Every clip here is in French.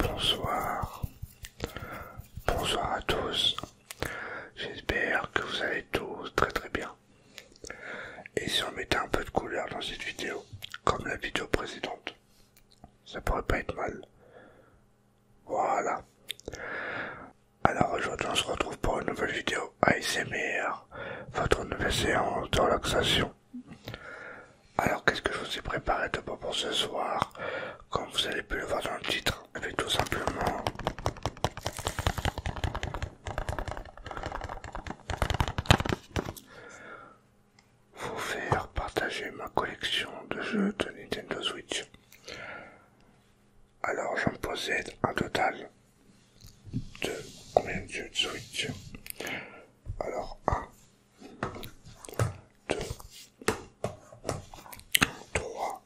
Bonsoir, bonsoir à tous. J'espère que vous allez tous très très bien. Et si on mettait un peu de couleur dans cette vidéo, comme la vidéo précédente, ça pourrait pas être mal. Voilà. Alors aujourd'hui on se retrouve pour une nouvelle vidéo ASMR, votre nouvelle séance de relaxation. Alors qu'est-ce que je vous ai préparé de bon pour ce soir Comme vous avez pu le voir dans le titre, vais eh ben, tout simplement vous faire partager ma collection de jeux de Nintendo Switch. Alors j'en possède un total de combien de jeux de Switch Alors 1, 2, 3,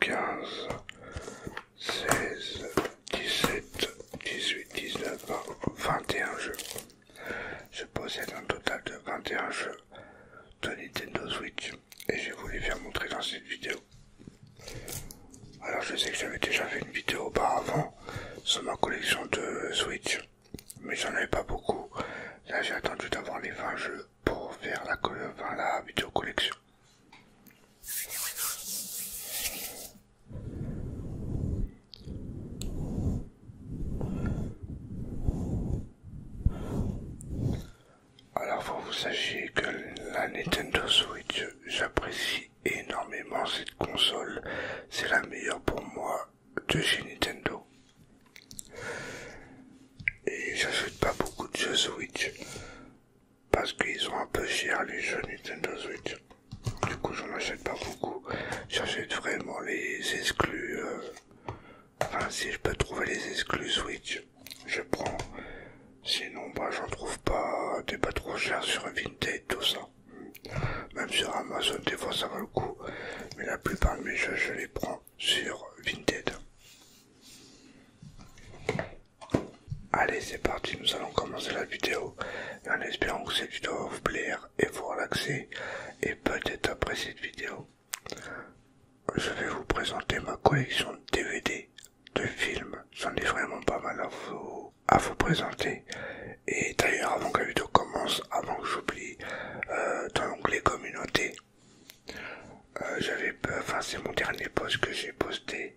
15, 16, 17, 18, 19, 21 jeux. Je possède un total de 21 jeux de Nintendo Switch et je vous les faire montrer dans cette vidéo. Alors je sais que j'avais déjà fait une vidéo auparavant sur ma collection de Switch, mais j'en avais pas beaucoup. Là j'ai attendu d'avoir les 20 jeux pour faire la, la vidéo collection. Alors faut vous sachiez que la Nintendo Switch, j'apprécie énormément cette console. C'est la meilleure pour moi de chez Nintendo. Et j'achète pas beaucoup de jeux Switch parce qu'ils sont un peu chers les jeux Nintendo Switch. Du coup, j'en achète pas beaucoup. J'achète vraiment les exclus. Euh, enfin, si je peux trouver les exclus Switch, je prends. Sinon, bah, j'en trouve pas. des pas trop cher sur Vinted, tout ça. Même sur Amazon, des fois ça vaut le coup. Mais la plupart de mes jeux, je les prends sur Vinted. Allez, c'est parti, nous allons commencer la vidéo en espérant que cette vidéo va vous plaire et vous relaxer et peut-être après cette vidéo, je vais vous présenter ma collection de DVD de films. J'en ai vraiment pas mal à vous, à vous présenter. Et d'ailleurs, avant que la vidéo commence, avant que j'oublie, euh, dans l'onglet communauté, euh, j'avais enfin c'est mon dernier post que j'ai posté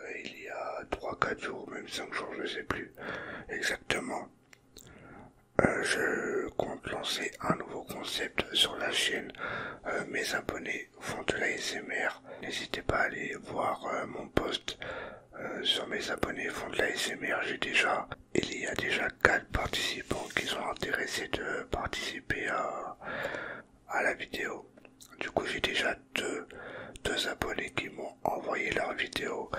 euh, il y a 3-4 jours, même 5 jours, je sais plus exactement. Euh, je compte lancer un nouveau concept sur la chaîne. mes abonnés font de la SMR. N'hésitez pas à aller voir mon post sur mes abonnés font de la SMR. J'ai déjà, il y a déjà 4 participants qui sont intéressés de participer à, à la vidéo. Du coup, j'ai déjà deux, deux abonnés qui m'ont envoyé leur vidéo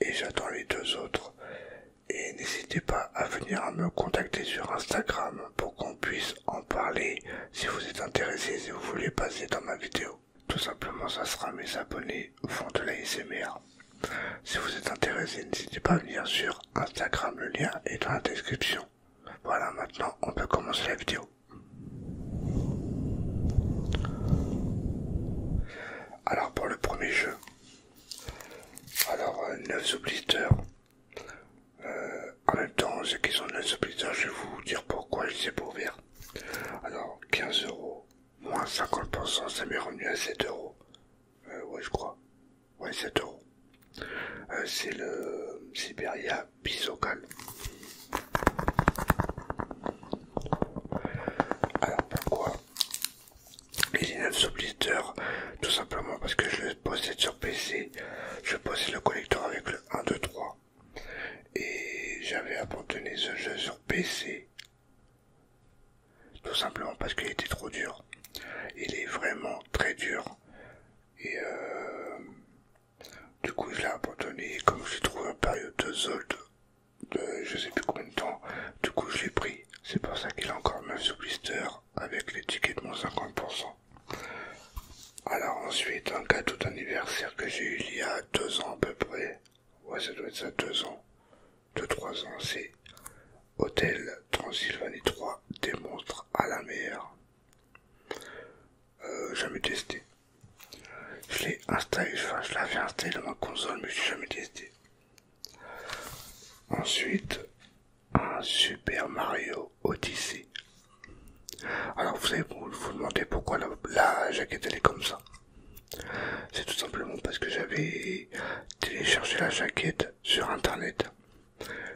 et j'attends les deux autres. Et n'hésitez pas à venir me contacter sur Instagram pour qu'on puisse en parler si vous êtes intéressé, et vous voulez passer dans ma vidéo. Tout simplement, ça sera mes abonnés font de la SMR. Si vous êtes intéressé, n'hésitez pas à venir sur Instagram, le lien est dans la description. Voilà, maintenant on peut commencer la vidéo. Alors pour le premier jeu, alors 9 euh, obliteurs. en même temps, ceux qui sont 9 obliteurs, je vais vous dire pourquoi je les ai pas Alors 15 euros, moins 50%, ça m'est revenu à 7 euros. Oui, euh, ouais, je crois. Ouais, 7 euros. c'est le Siberia Bisocal. Alors pourquoi il est sous blister Tout simplement parce que je le possède sur PC. Je possède le collecteur avec le 1, 2, 3. Et j'avais abandonné ce jeu sur PC. Tout simplement parce qu'il était trop dur. Il est vraiment très dur. Et euh, du coup, je l'ai abandonné. Comme j'ai trouvé un période de solde de je sais plus combien de temps, du coup, je l'ai pris. C'est pour ça qu'il est encore même sous blister avec les tickets de moins 50%. Alors, ensuite, un cadeau d'anniversaire que j'ai eu il y a deux ans à peu près. Ouais, ça doit être ça, deux ans. Deux, trois ans, c'est Hôtel Transylvanie 3 des montres à la mer. Euh, jamais testé. Je l'ai installé, je l'avais installé dans ma console, mais je l'ai jamais testé. Ensuite, un Super Mario Odyssey. Alors vous savez, vous demander demandez pourquoi la, la jaquette elle est comme ça. C'est tout simplement parce que j'avais téléchargé la jaquette sur internet.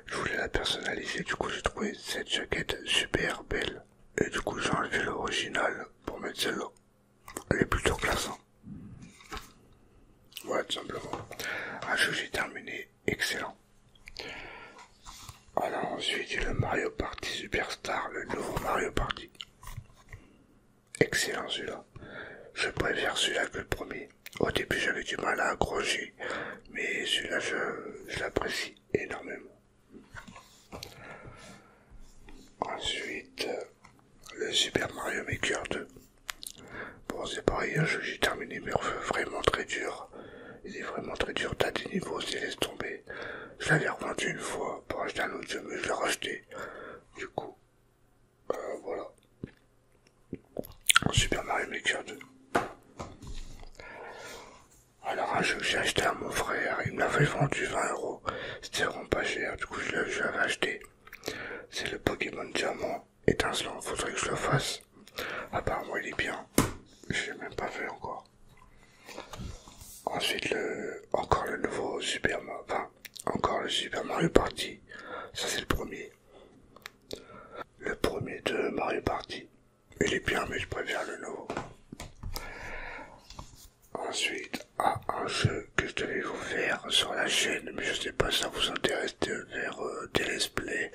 Je voulais la personnaliser, du coup j'ai trouvé cette jaquette super belle. Et du coup j'ai enlevé l'original pour mettre celle-là. Elle est plutôt classe. Voilà tout simplement. Un jeu j'ai terminé, excellent. Alors ensuite le Mario Party Superstar, le nouveau Mario Party. Excellent celui-là. Je préfère celui-là que le premier. Au début, j'avais du mal à accrocher, mais celui-là, je, l'apprécie énormément. Ensuite, euh, le Super Mario Maker 2. Bon, c'est pareil, hein, je j'ai terminé, mais vraiment très dur. Il est vraiment très dur, t'as des niveaux, c'est laisse tomber. Je l'avais revendu une fois pour acheter un autre jeu, mais je l'ai racheté. Du coup, euh, voilà. Super Mario Maker 2. Alors un jeu que j'ai acheté à mon frère, il me l'avait vendu 20 euros, c'était vraiment pas cher, du coup je l'avais acheté. C'est le Pokémon Diamant étincelant, faudrait que je le fasse. Apparemment il est bien, je l'ai même pas fait encore. Ensuite le encore le nouveau Super Mario, encore le Super Mario Party, ça c'est le premier. Le premier de Mario Party. Il est bien, mais je préfère le nouveau. Ensuite, à un jeu que je devais vous faire sur la chaîne, mais je sais pas si ça vous intéresse de faire euh, des let's play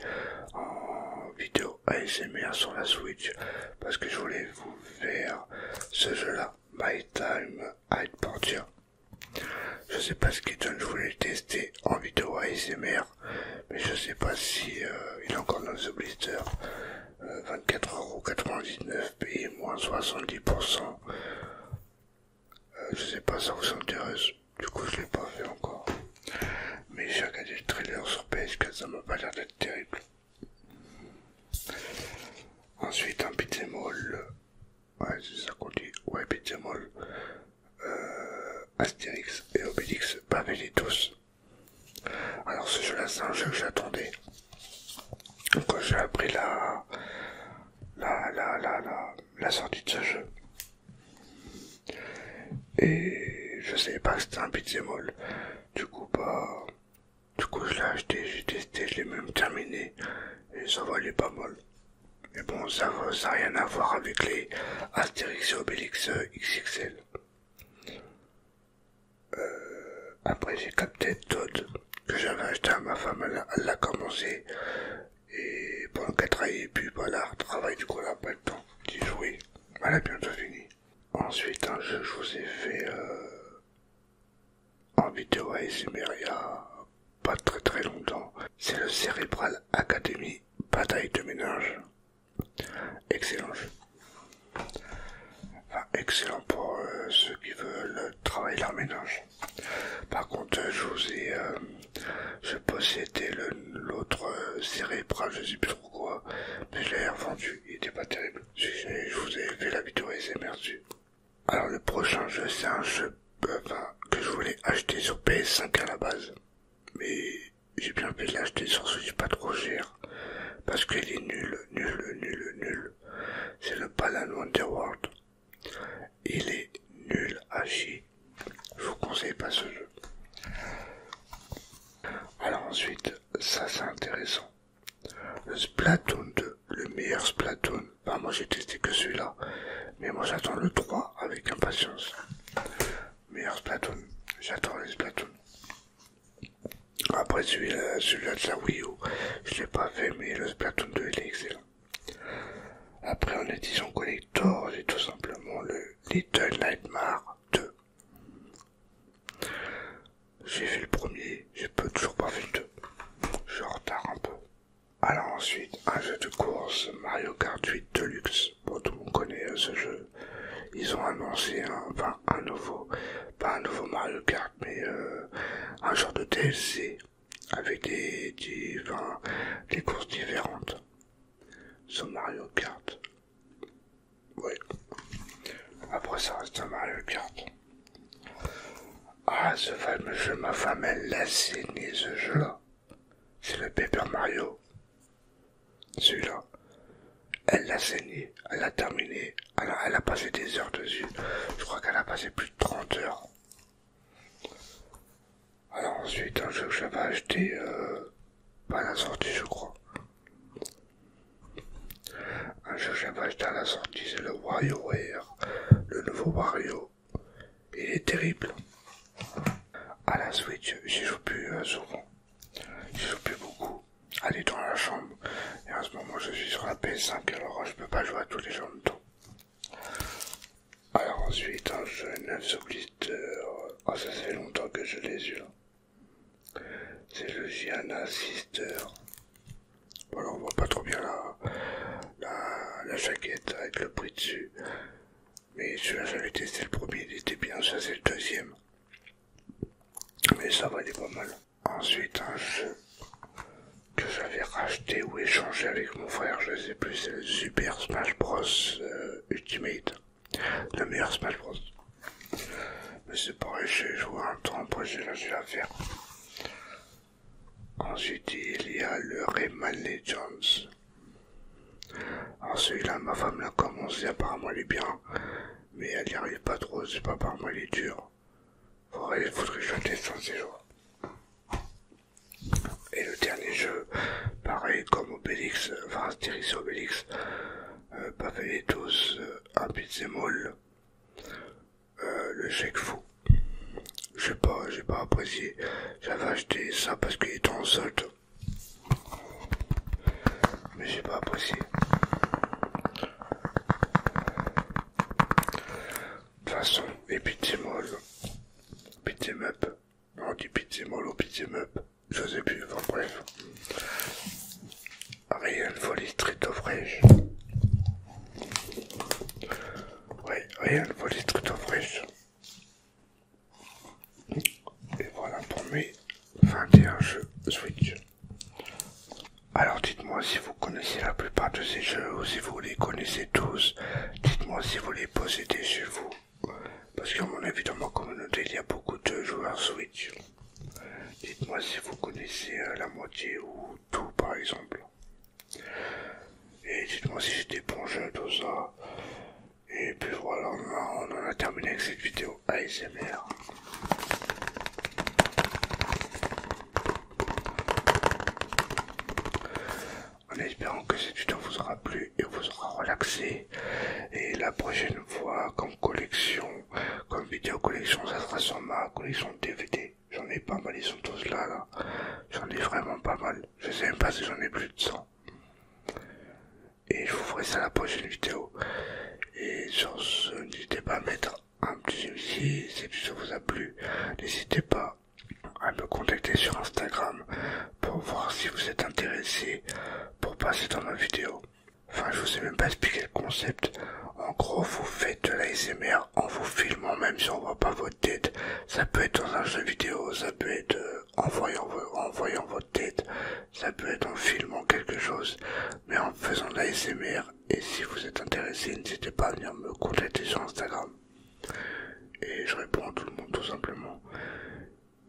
en vidéo ASMR sur la Switch, parce que je voulais vous faire ce jeu-là, My Time at Portia. Je sais pas ce qu'il donne, je voulais tester en vidéo ASMR mais je sais pas si euh, il est encore dans ce blister. 24,99€ payé moins 70%. Je euh, je sais pas, si ça vous intéresse. Du coup, je ne l'ai pas fait encore. Mais j'ai regardé le trailer sur PS4, ça m'a pas l'air d'être terrible. Ensuite, un pizza Ouais, c'est ça qu'on dit. Ouais, pizza euh, Astérix et Obélix tous. Alors ce jeu-là, c'est un jeu que j'attendais. Quand j'ai appris la la, la, la, la, sortie de ce jeu. Et je savais pas que c'était un beat'em all. Du coup, pas bah, du coup, je l'ai acheté, j'ai testé, je l'ai même terminé. Et ça valait pas mal. Mais bon, ça n'a rien à voir avec les Asterix et Obélix XXL. Euh, après, j'ai capté Todd, que j'avais acheté à ma femme, elle l'a commencé. Et pendant qu'elle travaillait, puis voilà, bah, travail, du coup, elle n'a pas le temps d'y jouer. Elle a bientôt fini. Ensuite, un jeu je vous ai fait euh, en vidéo pas très très longtemps. C'est le cérébral Academy Bataille de ménage. Excellent jeu. excellent pour euh, ceux qui veulent travailler leur ménage. Par contre, je vous ai... Euh, je possédais l'autre euh, cérébral je sais plus trop quoi, mais je l'ai revendu, il était pas terrible. Je, vous ai fait la vidéo et c'est Alors le prochain jeu, c'est un jeu bah, que je voulais acheter sur PS5 à la base. Mais j'ai bien fait de l'acheter sur Switch pas trop cher. Parce qu'il est nul, nul, nul, nul C'est le Palan Wonderworld. Il est nul à chier. Je vous conseille pas ce jeu. Alors ensuite, ça c'est intéressant. Le Splatoon 2, le meilleur Splatoon bah moi j'ai testé que celui-là. Mais moi j'attends le 3 avec impatience. Meilleur Splatoon. J'attends les Splatoon. Après celui-là celui de la Wii U, je l'ai pas fait mais le Splatoon 2 il est excellent. Après en édition collector, j'ai tout simplement le Little Nightmare 2. J'ai fait le premier, peux toujours pas faire le 2. Je retarde un peu. Alors ensuite, un jeu de course, Mario Kart 8 Deluxe. Bon, tout le monde connaît euh, ce jeu. Ils ont annoncé un, nouveau, pas un nouveau Mario Kart, mais euh, un genre de DLC avec des, courses différentes. Sur Mario Kart. Oui. Après, ça reste un Mario Kart. Ah, ce fameux jeu, ma femme, elle l'a signé ce jeu-là. C'est le Paper Mario. Celui-là. Elle l'a saigné, elle l'a terminé, elle elle a passé des heures dessus. Je crois qu'elle a passé plus de 30 heures. Alors ensuite, un jeu que j'avais acheté, pas euh, à la sortie je crois. Un jeu que j'avais acheté à la sortie, c'est le WarioWare, le nouveau Wario. Il est terrible. À la Switch, j'y joue plus euh, souvent. J'y joue plus beaucoup. Elle dans la chambre. Et en ce moment, je suis sur la PS5, alors je peux pas jouer à tous les jambes. en Alors ensuite, un jeune neuf Blister. Oh, ça fait longtemps que je les eu là. C'est le Gianna Sister. Voilà, on voit pas trop bien là la, jaquette avec le prix dessus. Mais celui-là, j'avais testé le premier, il était bien, ça c'est le deuxième. Mais ça va valait pas mal. Ensuite, un jeu que j'avais racheté ou échangé avec mon frère, je sais plus, c'est le Super Smash Bros euh, Ultimate. Le meilleur Smash Bros. Mais c'est pareil, j'ai joué un temps, après j'ai la l'affaire. Ensuite, il y a le Rayman Legends, Alors celui-là, ma femme l'a commencé, apparemment il est bien, mais elle n'y arrive pas trop, c'est pas apparemment il est dur. Faudrait, faudrait que je teste Et le dernier jeu, pareil comme Obélix, enfin Astérix sur Obélix, pas tous, à un euh, le chèque fou. Je pas, j'ai pas apprécié. J'avais acheté ça parce qu'il est en solde. Mais j'ai pas apprécié. De toute façon, et pitié Pizzemup, on dit au ou meup, je sais plus, enfin bref. Rien de folie, street of oui, rien ne les trucs fraîche. Et voilà pour mes 21 jeux Switch. Alors dites-moi si vous connaissez la plupart de ces jeux ou si vous les connaissez tous. Dites-moi si vous les possédez chez vous. Parce qu'à mon avis dans ma communauté il y a beaucoup de joueurs Switch. Dites-moi si vous connaissez euh, la moitié ou tout par exemple. Et dites-moi si j'étais bon jeu, tout ça. Et puis voilà, on en a terminé avec cette vidéo ASMR. En espérant que cette vidéo vous aura plu et vous aura relaxé. Et la prochaine fois, comme collection, comme vidéo collection, ça sera sur ma collection DVD. J'en ai pas mal, ils sont tous là, J'en ai vraiment pas mal. Je sais même pas si j'en ai plus de 100. Et je vous ferai ça la prochaine vidéo. Et sur ce, n'hésitez pas à mettre un petit like si ça vous a plu. N'hésitez pas à me contacter sur Instagram pour voir si vous êtes intéressé pour passer dans ma vidéo. Enfin, je vous ai même pas expliqué le concept. En gros, vous faites de la l'ASMR en vous filmant, même si on voit pas votre tête. Ça peut être dans un jeu vidéo, ça peut être euh, en voyant, en votre tête, ça peut être en filmant quelque chose, mais en faisant de la Et si vous êtes intéressé, n'hésitez pas à venir me contacter sur Instagram. Et je réponds à tout le monde tout simplement.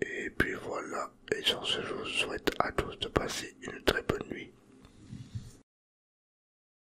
Et puis voilà, et sur ce, je vous souhaite à tous de passer une très bonne nuit.